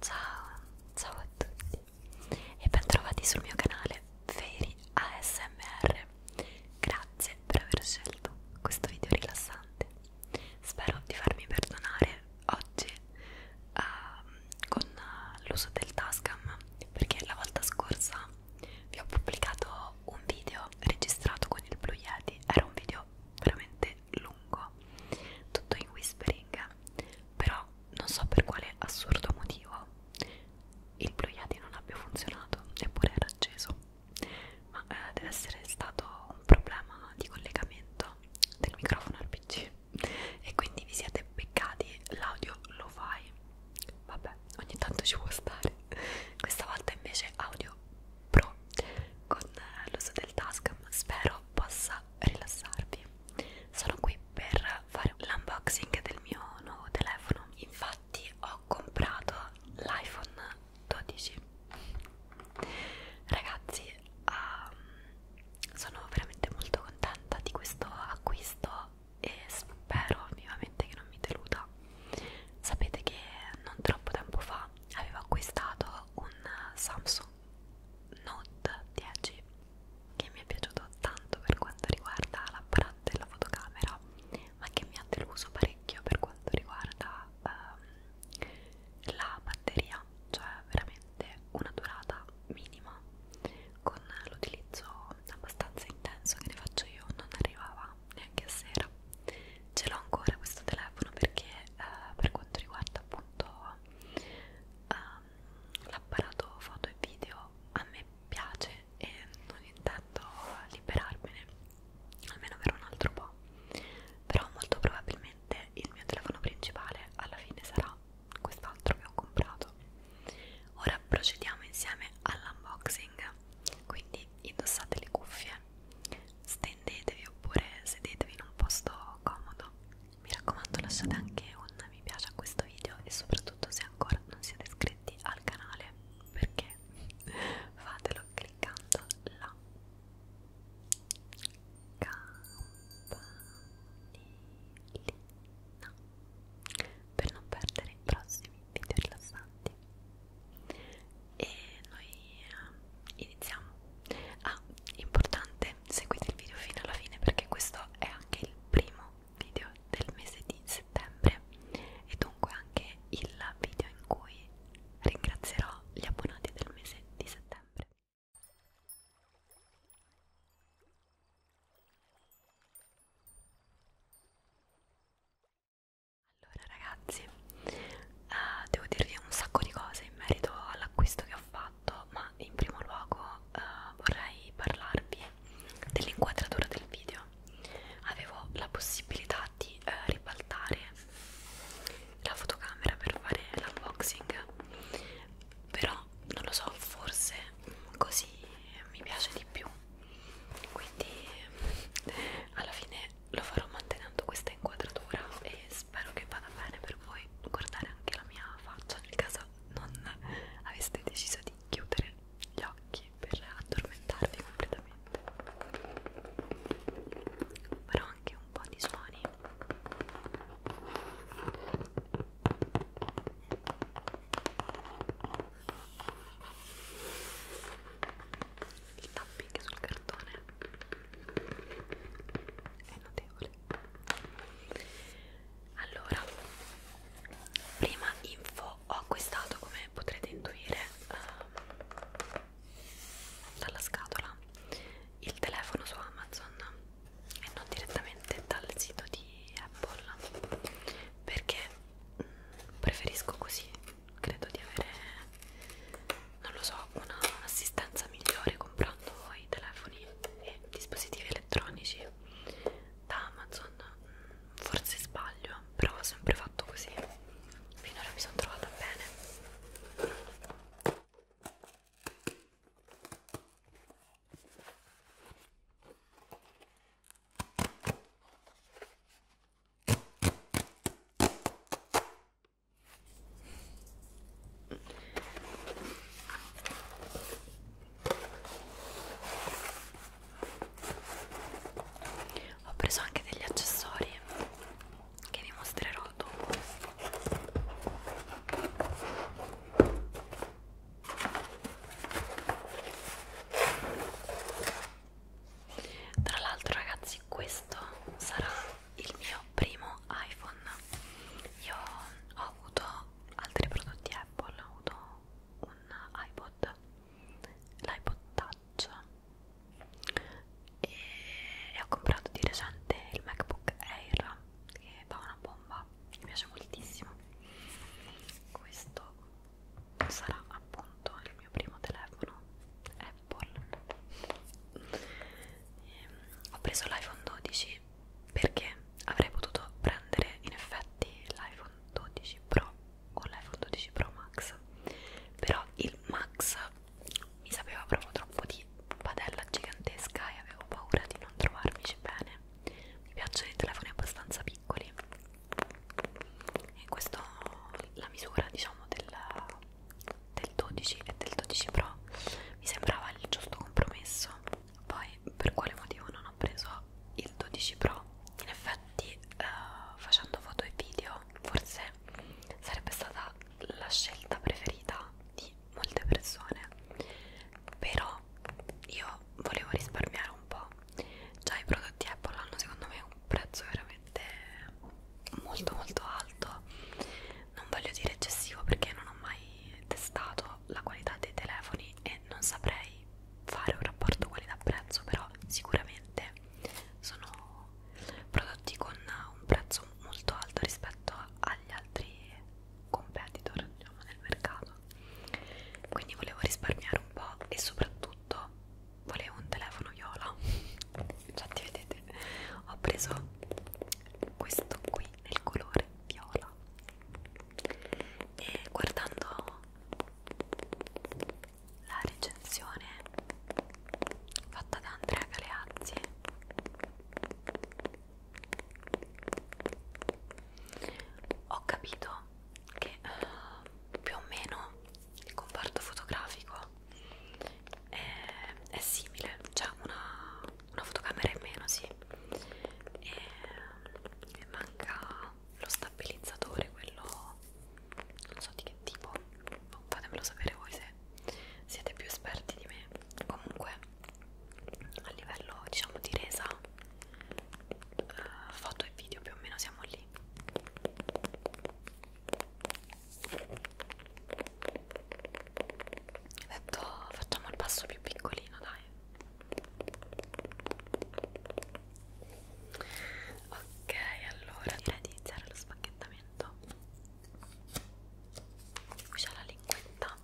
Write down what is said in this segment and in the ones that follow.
Ciao, ciao a tutti e bentrovati sul mio canale Fairy ASMR. Grazie per aver scelto questo video rilassante. Spero di farmi perdonare oggi uh, con l'uso del Tascam perché la volta scorsa vi ho pubblicato un video registrato con il Blue Yeti. Era un video veramente lungo, tutto in whispering, però non so per quale assurdo motivo il Blue Yeti non abbia funzionato, eppure era acceso, ma eh, deve essere stato un problema di collegamento del microfono al PC e quindi vi siete beccati l'audio lo fai. Vabbè, ogni tanto ci può stare. Questa volta invece audio Pro con l'uso del Tascam spero possa rilassarvi sono qui per fare l'unboxing del mio nuovo telefono infatti ho comprato l'iPhone 12 ragazzi um, sono veramente molto contenta di questo acquisto e spero vivamente che non mi deluda sapete che non troppo tempo fa avevo acquistato un Samsung Note 10 che mi è piaciuto tanto per quanto riguarda l'apparato della fotocamera ma che mi ha deluso parecchio per quanto riguarda ehm, la batteria cioè veramente una durata minima con l'utilizzo abbastanza intenso che ne faccio io non arrivava neanche a sera ancora ce l'ho ancora questo telefono perché eh, per quanto riguarda appunto ehm, l'apparato foto e video a me piace e non intendo liberarmene almeno per un altro po' però molto probabilmente il mio telefono principale alla fine sarà quest'altro che ho comprato ora procediamo insieme all'unboxing quindi indossate le cuffie stendetevi oppure sedetevi in un posto comodo mi raccomando lasciate anche un mi piace a questo video e soprattutto se ancora non siete iscritti al canale perché fatelo cliccando la campanellina per non perdere i prossimi video rilassanti e noi eh, iniziamo ah importante seguite il video fino alla fine perché questo è anche il primo video del mese di settembre e dunque anche il video in cui ringrazierò gli abbonati del mese di settembre allora ragazzi, eh, devo dirvi un sacco di cose in merito all'acquisto che ho fatto, ma in primo luogo eh, vorrei parlarvi dell'inquadratura del video. Avevo la possibilità di eh, ribaltare la fotocamera per fare l'unboxing, però non lo so, forse così mi piace di più quindi alla fine lo farò mantenendo questa inquadratura e spero che vada bene per voi guardare anche la mia faccia nel caso non aveste deciso di chiudere gli occhi per addormentarvi completamente farò anche un po' di suoni il tapping sul cartone è notevole allora prima info ho acquistato come potrete intuire uh, dalla scatola il telefono su Amazon e non direttamente dal sito di Apple perché mm, preferisco così credo di avere non lo so un'assistenza migliore comprando i telefoni e dispositivi elettronici da Amazon mm, forse sbaglio però ho sempre fatto così finora mi sono trovata bene ho preso anche degli accessori che vi mostrerò dopo. Tra l'altro ragazzi questo sarà il mio primo iPhone. Io ho avuto altri prodotti Apple, ho avuto un iPod, l'iPod Touch e ho comprato di recente il MacBook Air che fa una bomba, mi piace moltissimo. Questo sarà appunto il mio primo telefono Apple e ehm, ho preso l'iPhone 12 perché avrei potuto prendere in effetti l'iPhone 12 Pro o l'iPhone 12 Pro Max però il Max mi sapeva proprio troppo di padella gigantesca e avevo paura di non trovarmici bene mi piacciono i telefoni abbastanza piccoli e questa la misura diciamo del, del 12 e del 12 Pro mi sembrava il giusto compromesso poi per quale motivo non ho preso il 12 Pro in effetti uh, facendo foto e video forse sarebbe stata la scelta preferita di molte persone però io volevo risparmiare un po' già i prodotti Apple hanno secondo me un prezzo veramente veramente molto molto alto non voglio dire eccessivo perché non ho mai testato la qualità dei telefoni e non saprei fare un rapporto qualità prezzo però sicuramente sono prodotti con un prezzo molto alto rispetto agli altri competitor diciamo, nel mercato quindi volevo risparmiare un po' e soprattutto volevo un telefono viola già ti vedete ho preso questo qui nel colore viola e guardando la recensione fatta da Andrea Galeazzi ho capito che uh, più o meno il comparto fotografico è, è simile, c'è una, una fotocamera in meno, sì, e, e manca lo stabilizzatore, quello non so di che tipo, boh, fatemelo sapere voi se siete più esperti di me. Comunque, a livello diciamo di resa, eh, foto e video più o meno siamo lì. Ho detto facciamo il passo più piccolino, dai. Ok, allora direi di iniziare lo spacchettamento. Qui c'è la linguetta.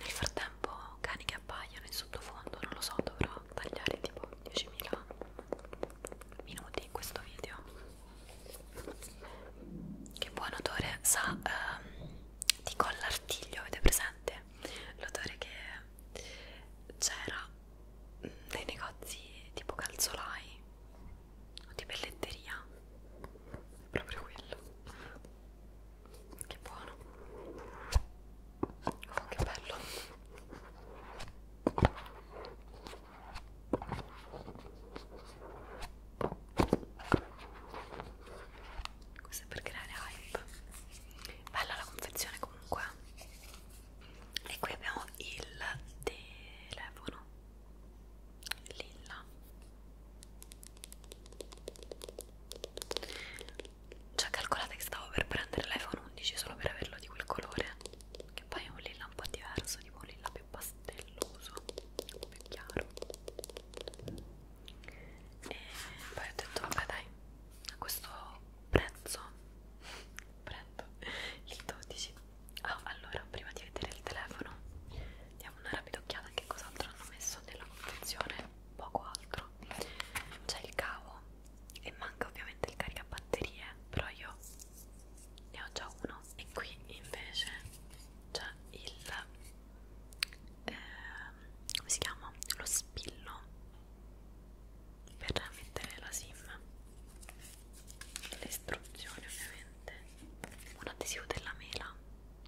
Nel frattempo cani che appaiono in sottofondo, non lo so, dovrò tagliare tipo 10.000 minuti in questo video. Che buon odore sa ehm, di collartiglio, avete presente? l'odore che c'era nei negozi tipo calzolai o di pelletteria proprio quello che buono oh, che bello questo è per creare hype bella la confezione comunque e qui abbiamo il telefono lilla già calcolate che stavo per prendere l'iPhone 11 solo per averlo di quel colore che poi è un lilla un po' diverso tipo un lilla più pastelloso un po' più chiaro e poi ho detto vabbè dai a questo prezzo prendo il 12 ah, allora prima di vedere il telefono diamo una rapida occhiata a che cos'altro hanno messo nella confezione poco altro c'è il cavo e manca ovviamente il caricabatterie però io ne ho già uno e qui invece c'è il eh, come si chiama? Lo spillo per mettere la sim, le istruzioni ovviamente, un adesivo della mela.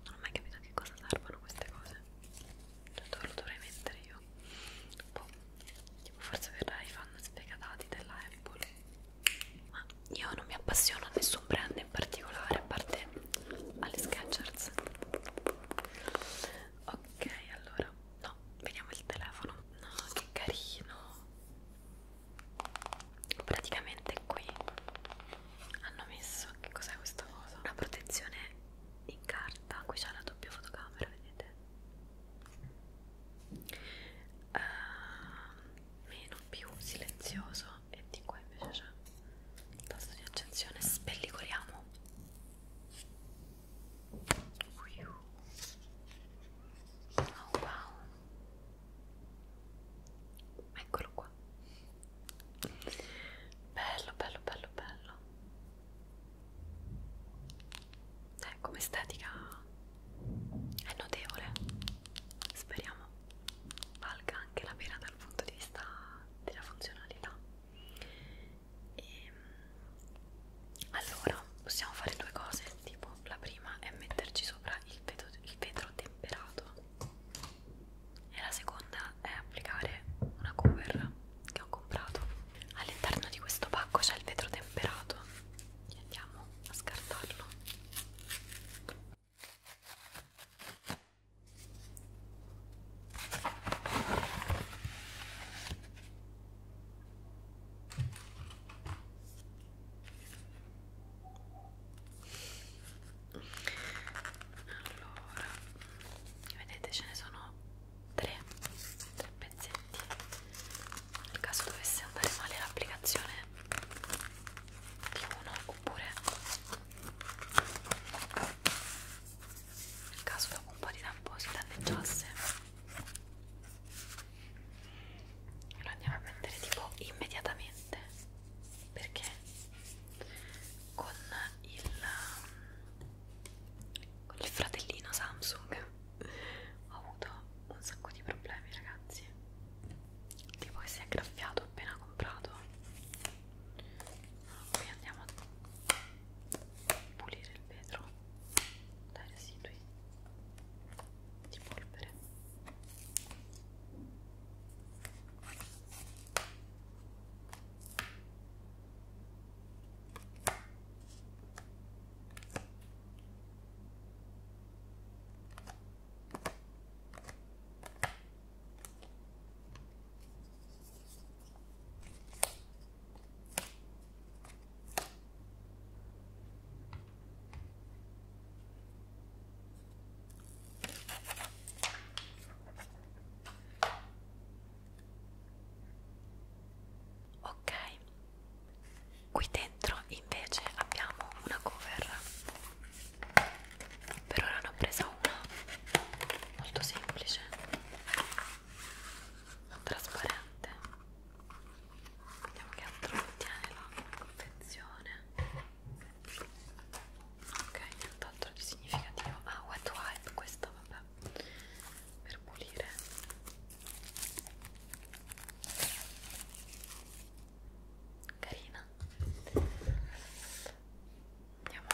Non ho mai capito a che cosa servono queste cose. Cioè, dove lo dovrei mettere io? Boh, tipo forse per i fan sfegatati della Apple. Ma io non mi appassiono a nessun brand in particolare, a parte alle Skechers ok allora no vediamo il telefono no che carino praticamente qui hanno messo che cos'è questa cosa una protezione in carta qui c'è la doppia fotocamera vedete uh, meno più silenzioso e di qua invece c'è il tasto di accensione spellicoliamo oh wow eccolo qua bello bello bello bello eh, come estetica è notevole speriamo valga anche la pena dal punto di vista della funzionalità e, ehm, allora possiamo fare due cose tipo la prima è metterci sopra il vetro, il vetro temperato e la seconda è applicare una cover che ho comprato all'interno di questo pacco c'è il vetro temperato e andiamo a scartarlo allora, vedete ce ne sono tre, tre pezzetti. Nel caso dovesse andare male l'applicazione di uno oppure nel caso dopo un po' di tempo si danneggiasse lo andiamo a prendere tipo immediatamente perché con il, con il fratellino Samsung ho avuto un sacco di problemi ragazzi tipo che si è graffiato appena comprato poi andiamo a pulire il vetro dai residui di polvere Ecco Ok, qui dentro invece abbiamo una cover per ora ne ho presa una molto semplice trasparente vediamo che altro contiene la confezione ok nient'altro di significativo ah wet wipe questo vabbè per pulire carina Andiamo.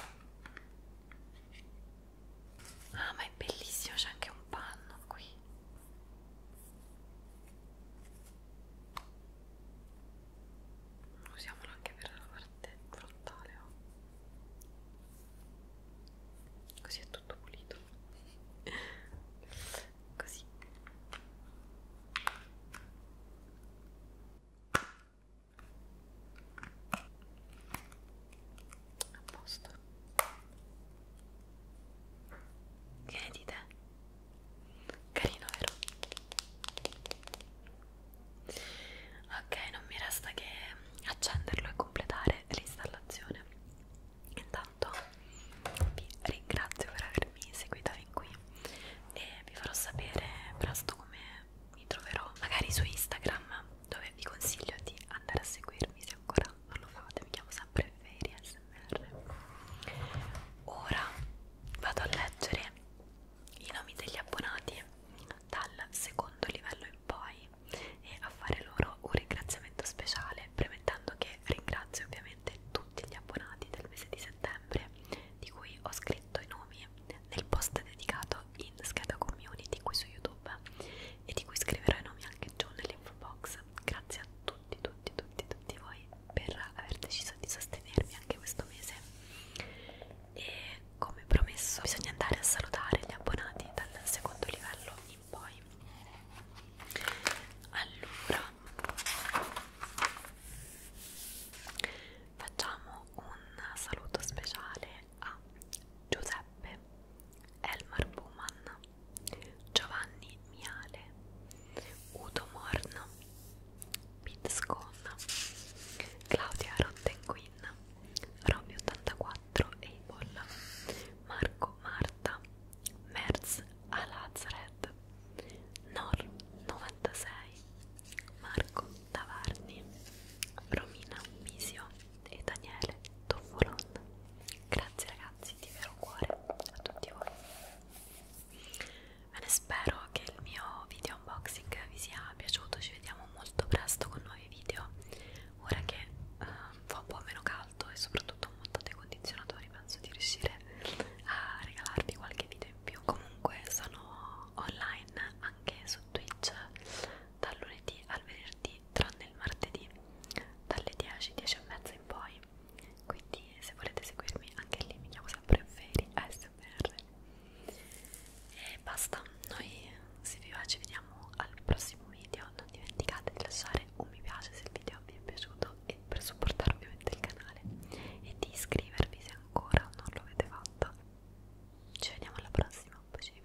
Ah, ma è bellissimo, c'è anche un panno qui. Usiamolo anche per la parte frontale. Oh. Così è tutto pulito. Così a posto che ne dite? carino vero? ok non mi resta che accenderlo e completare l'installazione intanto vi ringrazio per avermi seguito fin qui e vi farò sapere presto come mi troverò magari su Instagram dove vi consiglio di andare a seguirmi se ancora non lo fate mi chiamo sempre Fairy SMR ora vado a leggere i nomi degli abbonati dal secondo livello in poi e a fare loro un ringraziamento speciale premettendo che ringrazio ovviamente tutti gli abbonati del mese di settembre di cui ho scritto i nomi nel post dedicato in scheda community qui su YouTube e di cui scriverò i nomi anche giù nell'info box. Grazie a tutti, tutti, tutti, tutti voi per aver deciso di sostenermi anche questo mese. E come promesso, bisogna andare a salutare gli abbonati dal secondo livello in poi. Allora facciamo un saluto speciale a Giuseppe, Elmar Buman, Giovanni Miale, Udo Morno, Pitscon, Claudia Rottenguin, Robby84 Abel, Marco Marta, Merz Alazred, Nor96, Marco Tavarni, Romina Misio e Daniele Toffolon. Grazie ragazzi di vero cuore a tutti voi. Bene, spero che il mio video unboxing vi sia piaciuto, ci vediamo molto presto con nuovi video, ora che eh, fa un po' meno caldo e soprattutto ho montato i condizionatori, penso di riuscire a regalarvi qualche video esempio comunque sono online anche su Twitch dal lunedì al venerdì tranne il martedì dalle 10, 10 e mezza in poi quindi se volete seguirmi anche lì mi chiamo sempre Feri ASMR e basta noi se vi va ci vediamo al prossimo video non dimenticate di lasciare un mi piace se il video vi è piaciuto e per supportare ovviamente il canale e di iscrivervi se ancora non lo avete fatto ci vediamo alla prossima bacioni